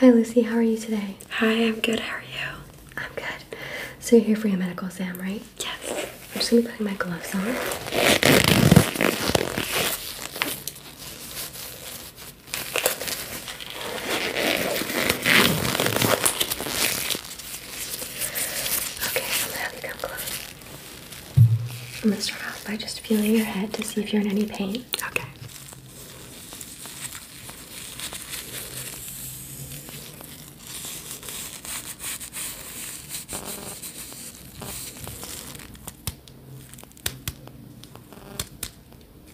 Hi Lucy, how are you today? Hi, I'm good. How are you? I'm good. So you're here for your medical exam, right? Yes. I'm just gonna be putting my gloves on. Okay, I'm gonna have you come close. I'm gonna start off by just feeling your head to see if you're in any pain. Okay.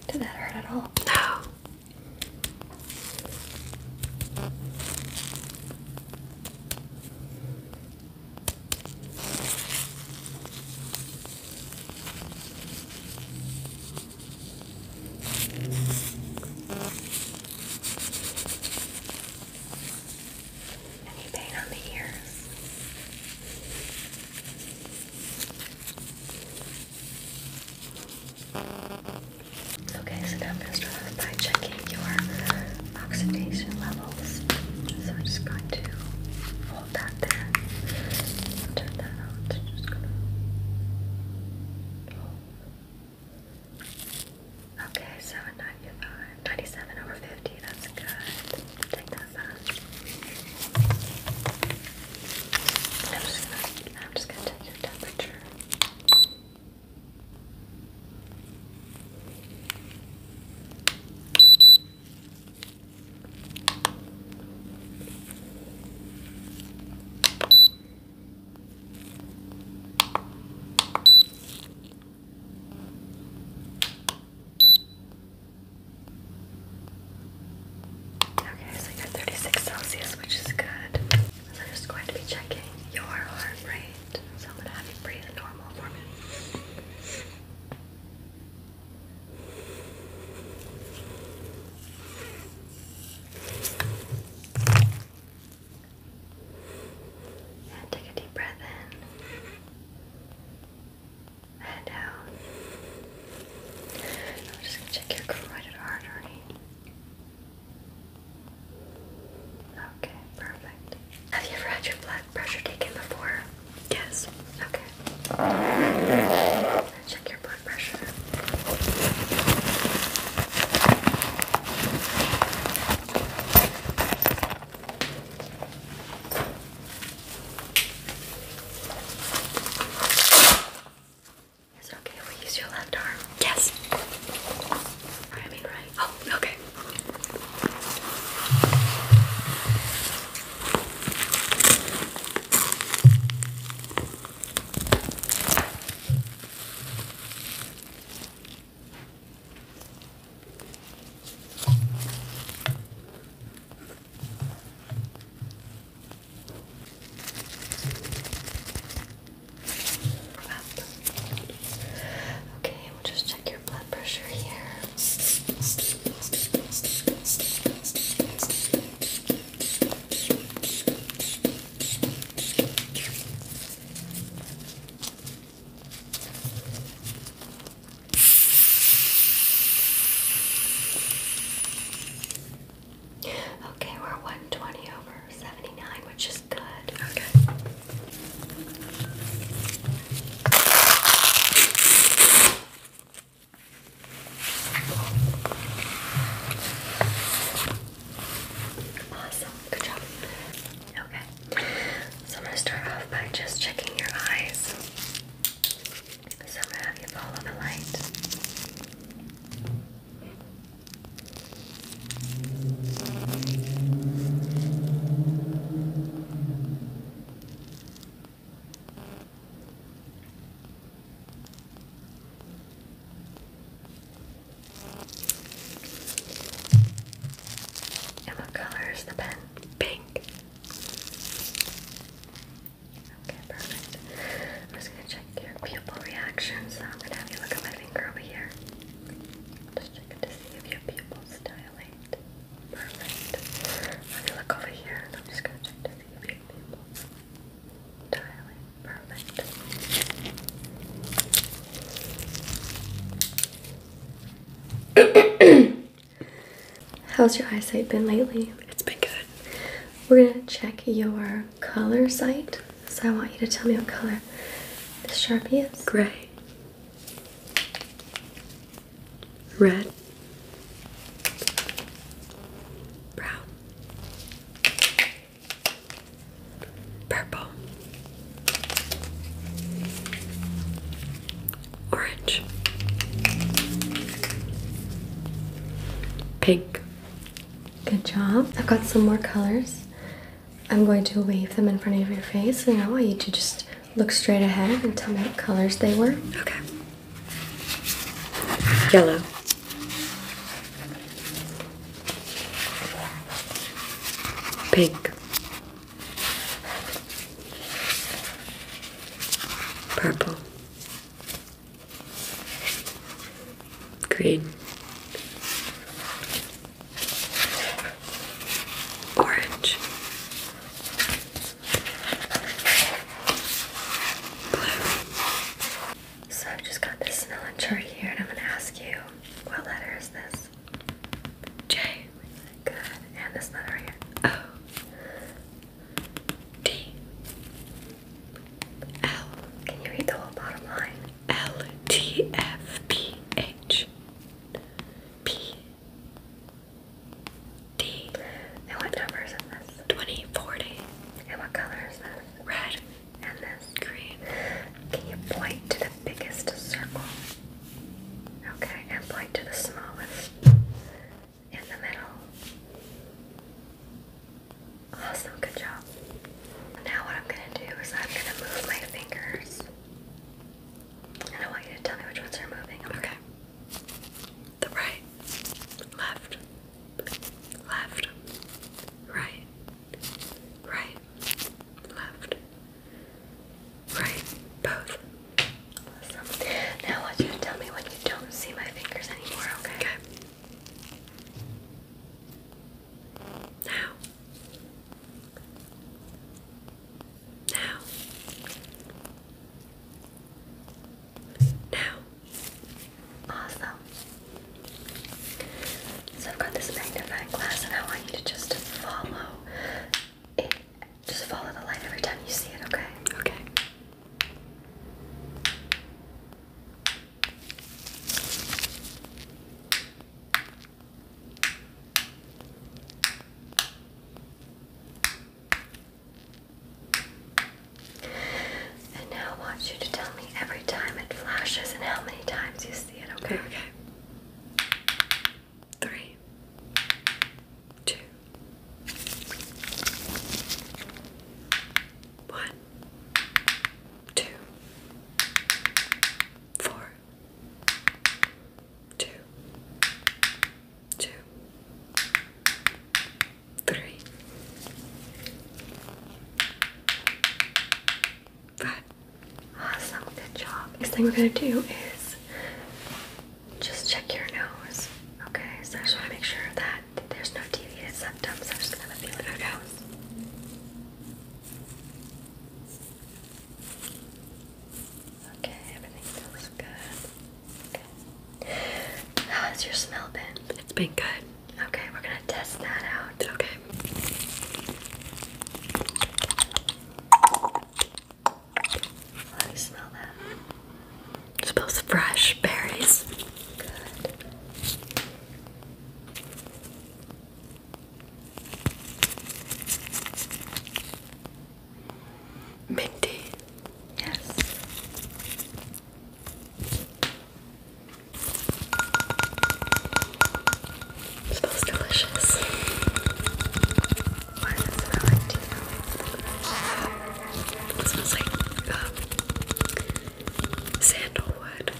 Did that hurt at all? No. Any pain on the ears? Okay, so now I'm going to start off by checking your oxidation levels. So I'm just going to Okay, 7.95. over 50. That's good. Take that back. I'm just gonna take your temperature. Okay, so you got 36 Celsius, which is good. So I'm just going to be checking your heart rate. So I'm going to have you breathe normal for me. And take a deep breath in. and out. I'm just going to check your carotid artery. Okay, perfect. Have you ever had your blood pressure taken before? Yes. Okay. Check your blood pressure. Is it okay if we use your left arm? Yes. I mean right. Oh, okay. Okay, we'll just check your blood pressure here. Okay, we're 120 over 79, which is good. Okay. Awesome, good job. Okay, so I'm going to start off by just checking your eyes. So I'm going to have you follow the light what color is the pen? Pink. Okay, perfect. I'm just gonna check your pupil reaction, so I'm gonna have you look at my finger over here. Just checking to see if your pupils dilate. Perfect. Let me look over here I'm just gonna check How's your eyesight been lately? It's been good. We're gonna check your color sight. So I want you to tell me what color this sharpie is. Gray red, brown, purple, orange, pink. Good job. I've got some more colors. I'm going to wave them in front of your face and I want you to just Look straight ahead and tell me what colors they were. Okay. Yellow. Pink. Purple. Green. Orange. So i just got this Snellen chart here and I'm going to ask you, what letter is this? J. Good. And this letter here. O. D. L. Can you read the whole bottom line? L. T. F. P. H. P. D. And what number is this? 20, 40. And what color is this? Red. And this? Green. Can you point to the biggest circle? Okay, and point to the smallest in the middle. Awesome, good job. Now what I'm gonna do is I'm gonna move my fingers. And I want you to tell me which ones are moving. okay the right, left, left, right, right, left, right, both. Now I want you to tell me when you don't see my fingers anymore, okay? Okay. Now. Now. Now. Awesome. So I've got this magnifying glass and I want you to just follow it. Just follow the light every time you see it, okay? Okay. And now I want you to tell me every time it flashes and how many times you see it, okay? Okay. Three, two, one, two, four, two, two, three, five. Awesome, good job. Next thing we're gonna do is just check your nose. Okay, so I just wanna make sure that there's no deviated septum, so I'm just gonna feel your nose. Okay, everything feels good. Okay. your smell been? It's been good. Okay, we're gonna test that out. Okay. Let me smell that. smells fresh berries. Minty, yes. smells delicious. Why does it smell like tea? smells like uh, sandalwood.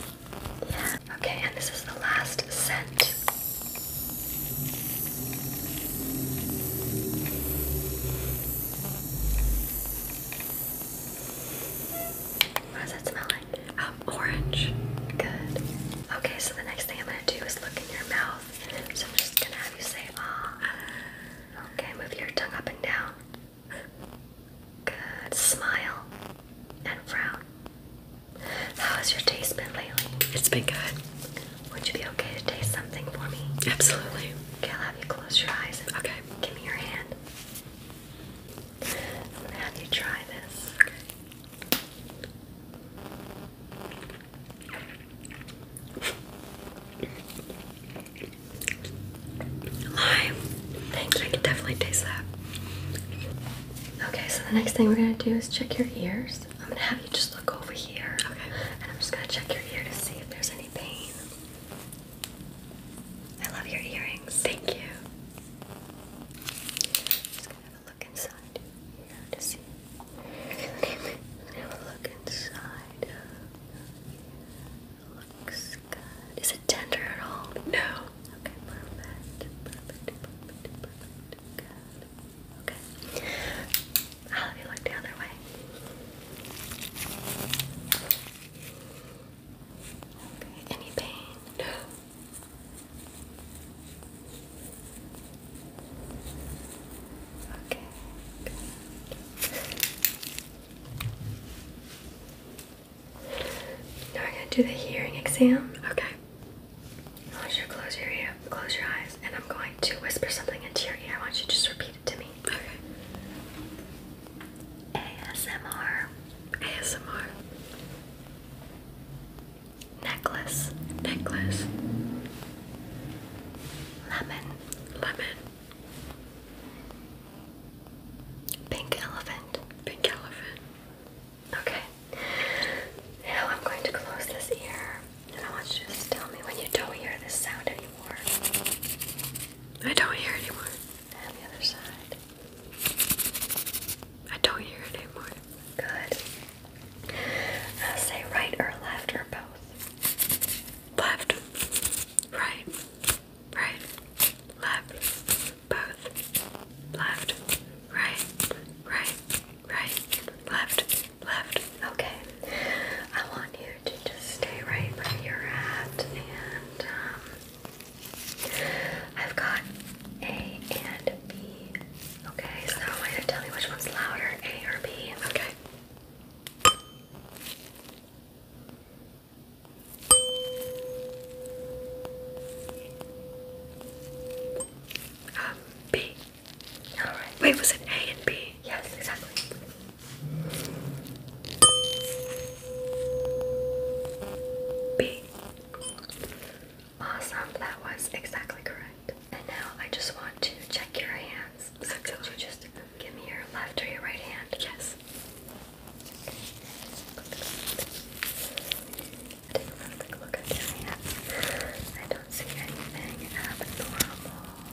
Yeah. Okay, and this is the last scent. What that smell like? Um, orange. Good. Okay, so the next thing I'm gonna do is look in your mouth. So I'm just gonna have you say ah. Okay, move your tongue up and down. Good. Smile and frown. How has your taste been lately? It's been good. Would you be okay to taste something for me? Absolutely. Okay, I'll have you close your eyes and okay. give me your hand. I'm gonna have you try this. Okay. Lime. Thank you. I can definitely taste that. Okay, so the next thing we're gonna do is check your ears i I'm gonna have you just look over here. And I'm just gonna check your ear to see if there's any pain. I love your earrings. Thank you. Just gonna have a look inside here to see. Have a look inside. Looks good. Is it tender at all? No. Okay. I'll have you look the other way. Okay, any pain? No. Okay. Now we're gonna do the hearing exam. Okay. I want you to close your ear, close your eyes and I'm going to whisper something into your ear. Why don't you just repeat it to me. Okay. ASMR. ASMR. Necklace. Necklace. Lemon. Lemon. Pink elephant. Pink elephant. Okay. Now I'm going to close this ear. And I want you to just tell me when you don't hear this sound anymore. I don't hear it anymore. And the other side. I don't hear it anymore. Good. Now uh, say right or left or both. Left. Right. Right. Left. Both. Left. Right. Right. Right. Left. Left. Okay. I want you to just stay right where you're at, and um, I've got A and B. Okay, is I'm going to tell you which one's louder, A or B? Okay. Um, B. Wait, was it A and B? Yes, exactly. B. Awesome, that was exactly correct. And now I just want to check your hands. So could you just give me your left or your right hand? Yes.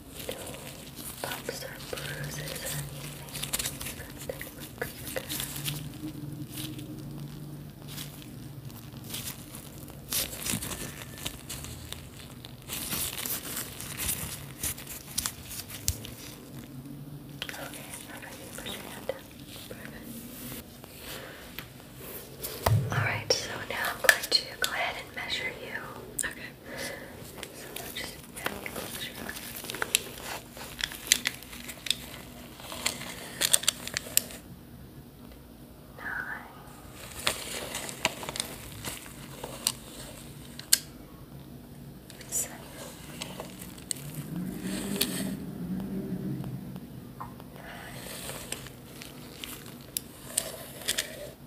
no bumps or bruises or anything looks good. Okay, alright, you push your hand down. Perfect. Alright, so now I'm going to go ahead and measure you. Okay. Nine. Seven. Nine.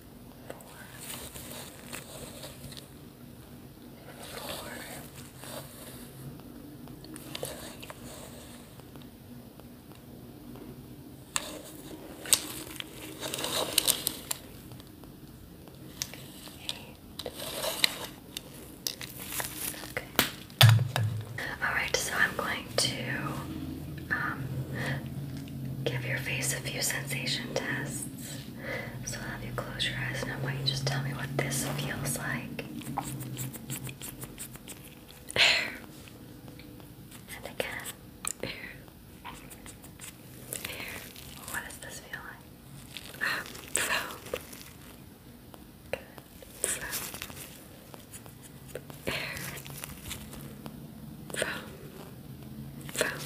four, three, eight. Okay. All right, so I'm going to um, give your face a few sensation tests. So have you close your eyes now? I you just tell me what this feels like. Air. And again. Air. Air. What does this feel like? Ah, Good. Foam. Air from, from,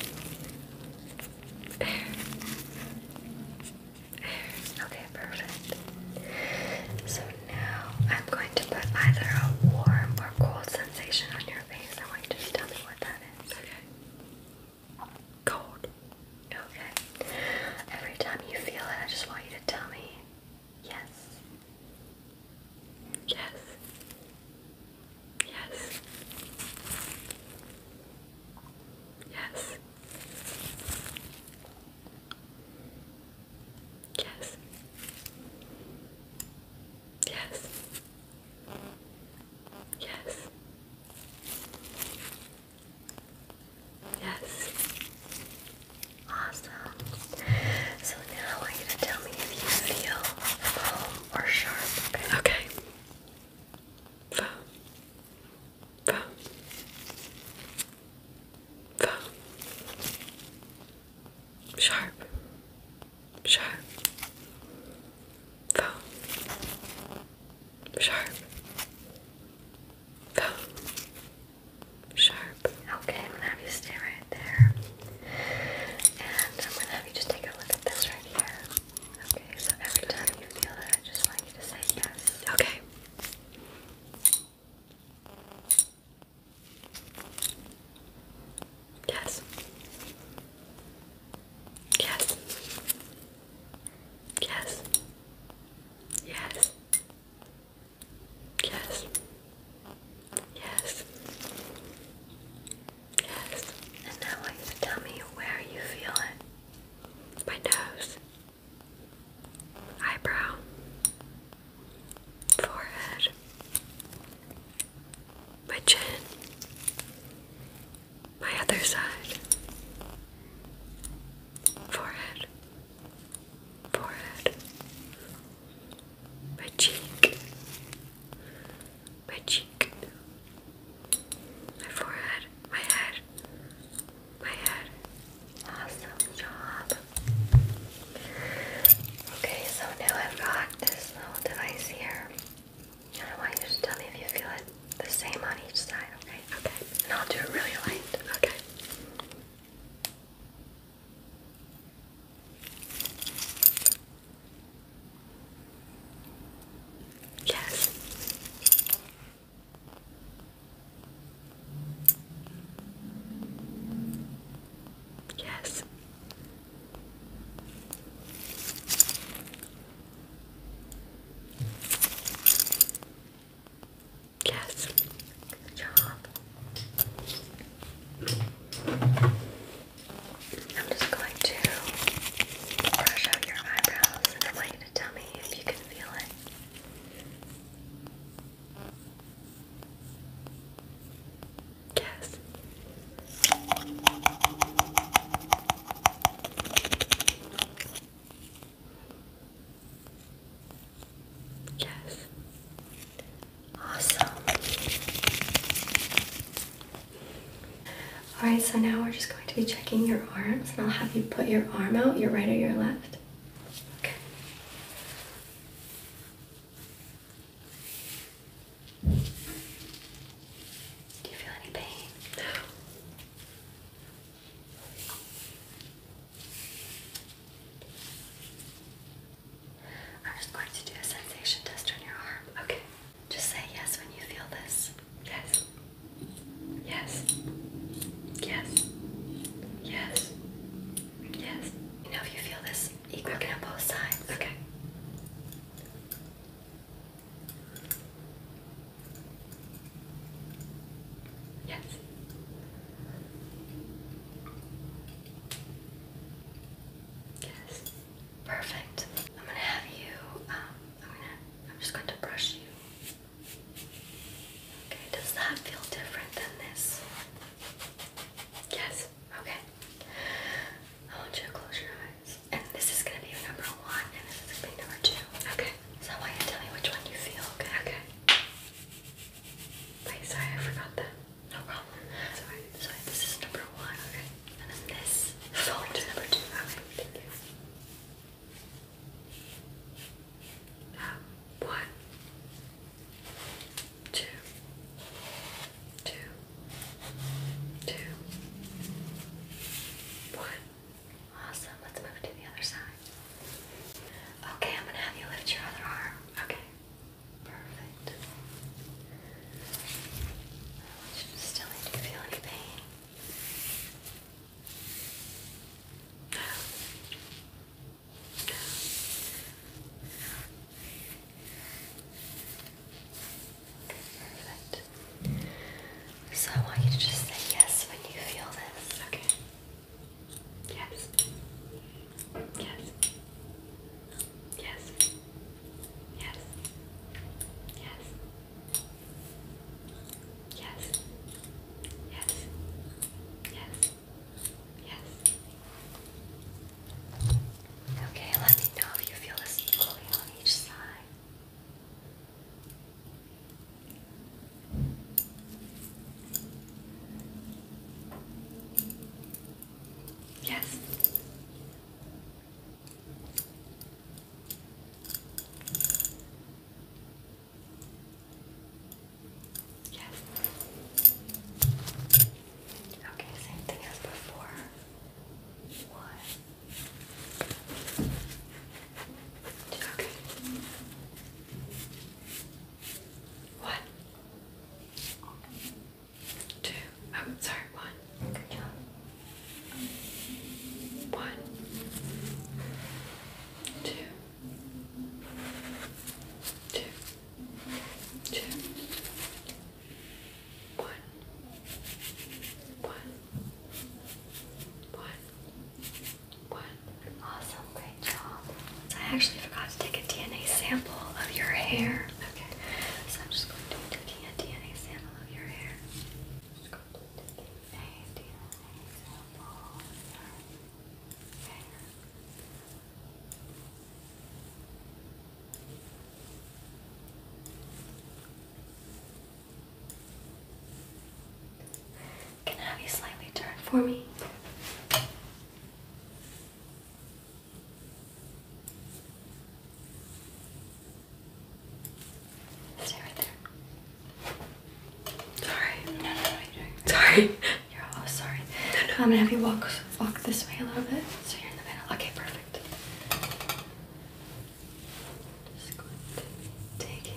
air, air. Okay, perfect. So now I'm going to put either a warm or cold sensation on your face. I want you to tell me what that is. Okay. Cold. Okay. Every time you feel it, I just want you to tell me yes. Yes. Yes. Yes. Yes. Yes. Yes. Yes. Awesome. So now I want you to tell me if you feel home or sharp. Okay. okay. Fa. Fa. Sharp. Sharp. Fa. Sharp. Fa. Sharp. Okay, I'm gonna there. And I'm gonna have you just take a look at this right here. Okay, so every time you feel that, I just want you to say yes. Okay. Yes. Yes. Yes. Yes. Yes. Yes. Yes. And now tell me where you feel it. My nose. Eyebrow. Forehead. My chin. My other side. Forehead. Forehead. My cheek my cheek, my forehead, my head, my head. Awesome job. Okay, so now I've got this little device here. And I want you to tell me if you feel it the same on each side, okay? Okay. And I'll do it really light, okay? Yes. Yes. Yes. Good job. I'm just going to brush out your eyebrows and I want you to tell me if you can feel it. Yes. Yes. Awesome. Alright, so now we're just going to be checking your arms, and I'll have you put your arm out, your right or your left. Do you feel any pain? I'm just going to do a sensation test on your arm. Okay. Just say yes when you feel this. Yes. Yes. Yes. Yes. Yes. You know if you feel this equal okay. on both sides. Okay. Yes. Yes. Perfect. I'm gonna have you. Um, I'm gonna. I'm just going to brush you. Okay. Does that feel different than this? Yes. Okay. I want you to close your eyes. And this is gonna be number one, and this is gonna be number two. Okay. So I want you to tell me which one you feel. Okay. Okay. Wait. Sorry, I forgot that. No problem. Sorry. Sorry, this is number one. Okay. And then this folder is number two. Okay, thank you. one, two, two, two, one. Awesome. Let's move to the other side. Okay, I'm gonna have you lift your other arm. Okay. Perfect. I still need to feel any pain. perfect. So I want you to just say yes when you feel this. Okay. Yes. Yes. Yes. Yes. Yes. Yes. Yes. Yes. Yes. Okay, let me know if you feel this equally on each side. Yes. Yes. Okay, same thing as before. One. Okay. What? two, oh, sorry, one. Good job. One, two, two, two, one, one, one, one. Awesome, great job. I actually forgot to take a DNA sample of your hair. Okay, so I'm just going to be taking a DNA sample of your hair. Can I have you slightly turn for me? Stay right there. Sorry. No, no, no, you doing Sorry. You're all sorry. I'm gonna have you walk walk this way a little bit so you're in the middle. Okay, perfect. Just going to be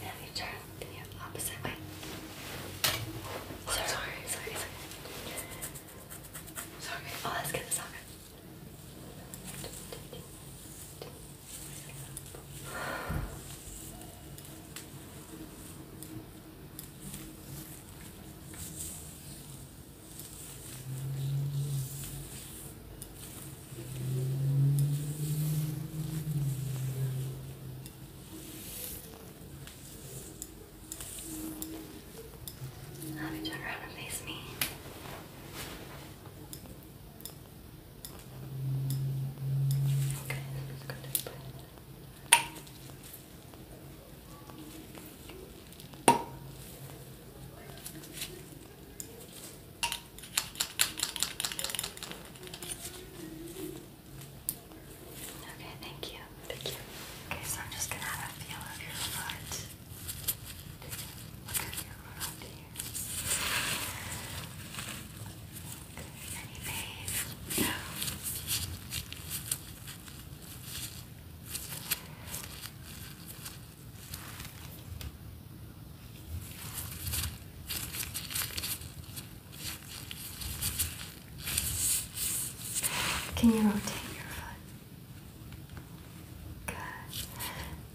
then we turn the opposite way. Oh, sorry, sorry, sorry, sorry. Sorry. Oh, let's get this on. Now turn around and face me. Okay, let's go to the Okay, thank you. Thank you. Okay, so I'm just gonna have a feel of your foot. Look at your foot can you rotate your foot? Good.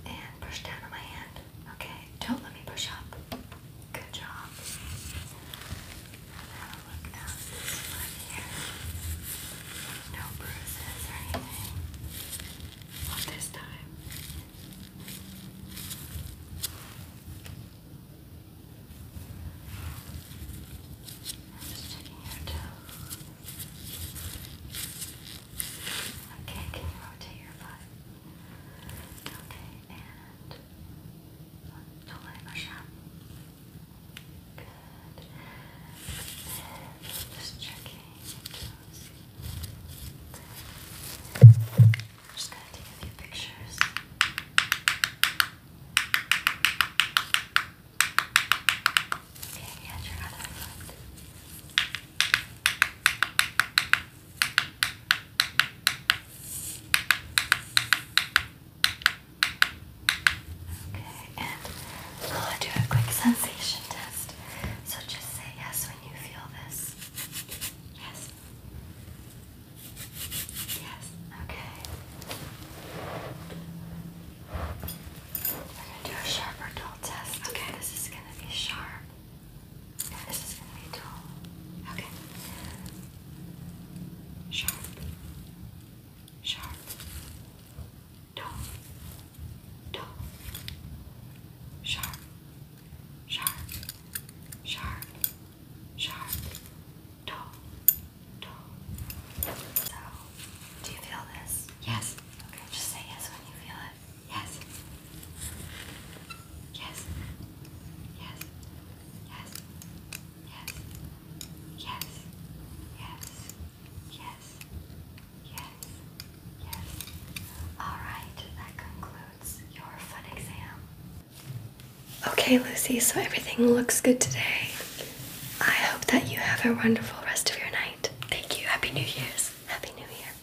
And push down on my hand. Okay, don't let me push up. Good job. have a look at here. No bruises or anything. this time. I'm just checking your toe. Okay, can you rotate your butt? Okay, and don't let it rush out. Good. just checking just gonna take a few pictures. Okay, and your other foot. Okay, and I'll do a quick sensation test. So just say yes when you feel this. Yes. Yes. Okay. We're gonna do a sharper dull test. Okay, this is gonna be sharp this is gonna be dull. Okay. Sharp. Sharp. Dull. Dull. Sharp. Sharp. Sharp. Sharp. Dull. Dull. So, do you feel this? Yes. Okay, just say yes when you feel it. Yes. Yes. Yes. Yes. Yes. Yes. Yes. Yes. Yes. Yes. All right. That concludes your fun exam. Okay, Lucy, so everything looks good today. I hope that you have a wonderful rest of your night. Thank you. Happy New Year's. Happy New Year.